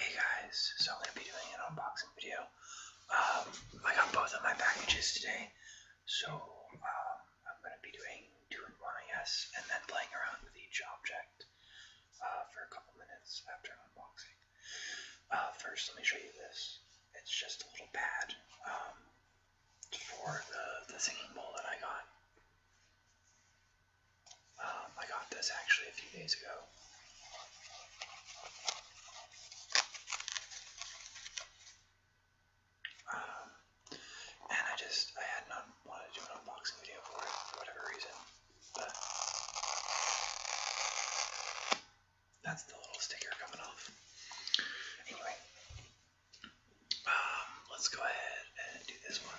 Hey guys, so I'm going to be doing an unboxing video. Um, I got both of my packages today, so um, I'm going to be doing two in one, I and then playing around with each object uh, for a couple minutes after unboxing. Uh, first, let me show you this. It's just a little pad um, for the, the singing bowl that I got. Um, I got this actually a few days ago. Um, and I just, I had not wanted to do an unboxing video for it for whatever reason, but that's the little sticker coming off. Anyway, um, let's go ahead and do this one.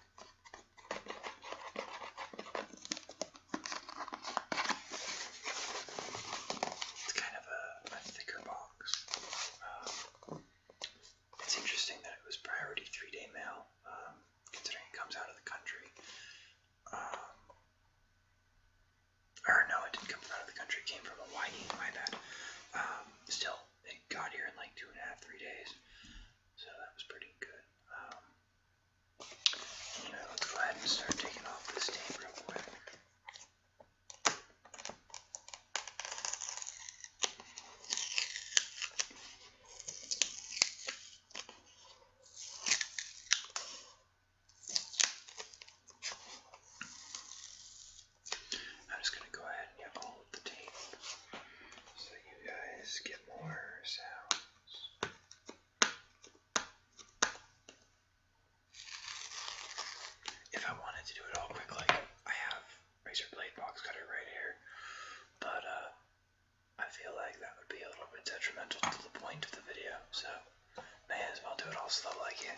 It's kind of a, thicker box. Um, it's interesting that it was priority three day mail, um, considering it comes out of the country. Um, or no, it didn't come out of the country. came from Hawaii. My bad. still, it got here in like two and a half, three days. So that was pretty good. Um, anyway, let's go ahead and start taking off this tape real quick. I'm just going to go ahead and get all so you guys get more sounds. If I wanted to do it all quick, I have razor blade box cutter right here, but uh, I feel like that would be a little bit detrimental to the point of the video, so may as well do it all slow like it.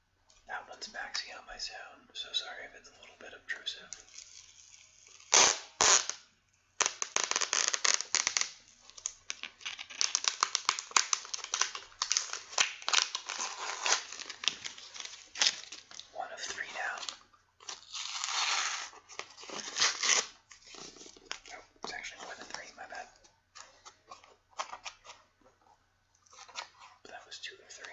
That one's maxing out my sound, so sorry if it's a little bit obtrusive. One of three now. Oh, it's actually more than three, my bad. But that was two or three.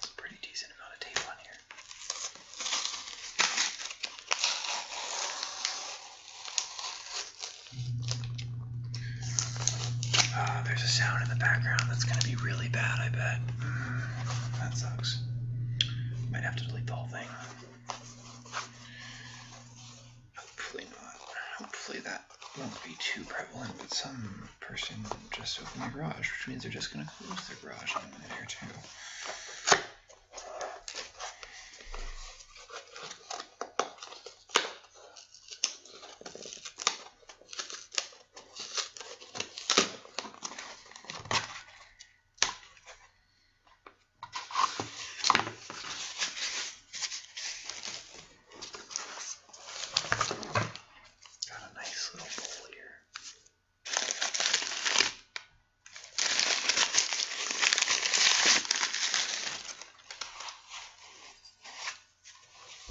It's a pretty decent amount of tape on here. Uh, there's a sound in the background that's going to be really bad, I bet. Mm, that sucks. Might have to delete the whole thing. Hopefully not. Hopefully that won't be too prevalent, but some person just opened my garage, which means they're just going to close their garage in a minute or two. Got a nice little bowl here.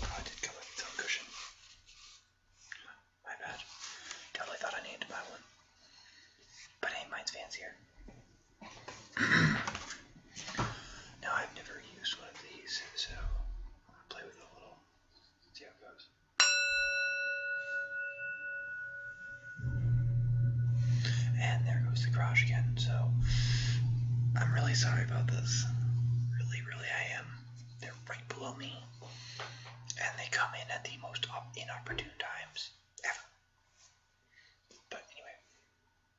Oh, I did come with a tail cushion. My bad. Totally thought I needed to buy one. But hey, mine's fancier. Now I've never used one of these, so I'm gonna play with a little, see how it goes. And there goes the garage again, so I'm really sorry about this. Really, really I am. They're right below me. And they come in at the most inopportune times ever. But anyway,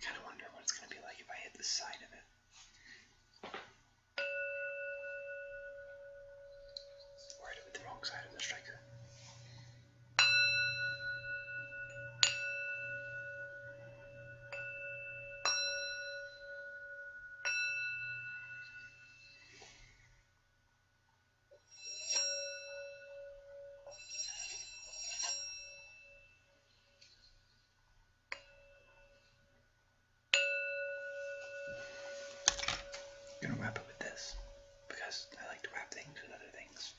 Kind of wonder what it's going to be like if I hit the side of it. Worried with the wrong side of the striker. I'm gonna wrap it with this because I like to wrap things with other things.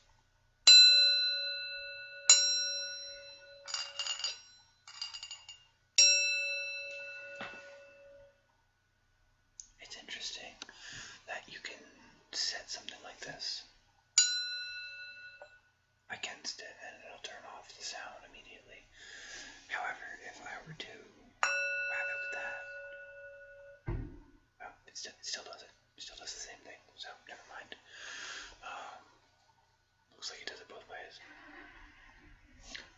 It's interesting that you can set something like this against it and it'll turn off the sound immediately. However, if I were to have it with that, oh, it still, does it. Still does the same thing. So never mind. Um, looks like it does it both ways.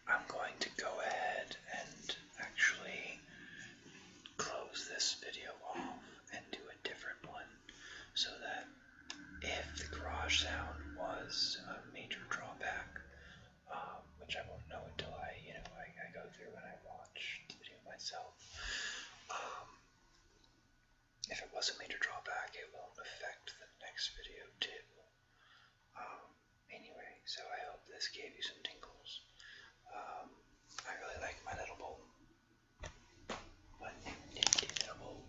I'm going to go ahead and actually close this video off and do a different one so that if the garage sound was a major drawback, um, which I won't know until I, you know, I, I go through and I watch the video myself. Um, if it was a major drawback, it won't affect the next video too. Um, anyway, so I hope this gave you some tingles. Um, I really like my little bowl but indescribable.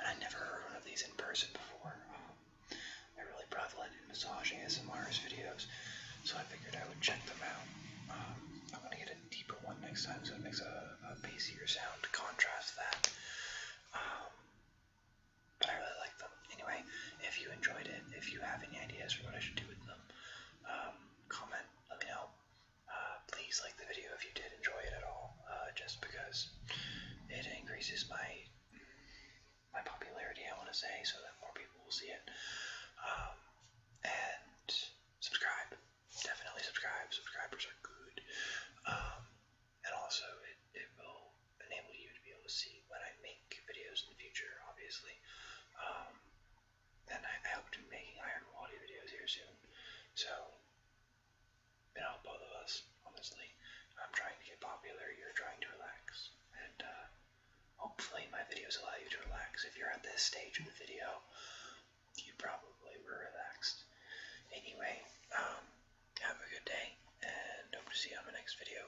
And I never heard one of these in person before. Uh, they're really prevalent in massaging ASMR's videos, so I figured I would check them out. Um, I'm gonna get a deeper one next time, so it makes a, a bassier sound to contrast that. Um, but I really like them. Anyway, if you enjoyed it, if you have any ideas for what I should do with them, um, comment let me know. Uh, please like the video if you did enjoy it at all, uh, just because it increases my my popularity, I want to say, so that more people will see it. Um, and subscribe, definitely subscribe. Subscribers are good, um, and also it, it will enable you to be able to see when I make videos in the future, obviously. Um, then I, hope to be making Iron quality videos here soon. So, it help both of us, honestly. I'm trying to get popular, you're trying to relax. And uh, hopefully my videos allow you to relax. If you're at this stage of the video, you probably were relaxed. Anyway, um, have a good day, and hope to see you on my next video.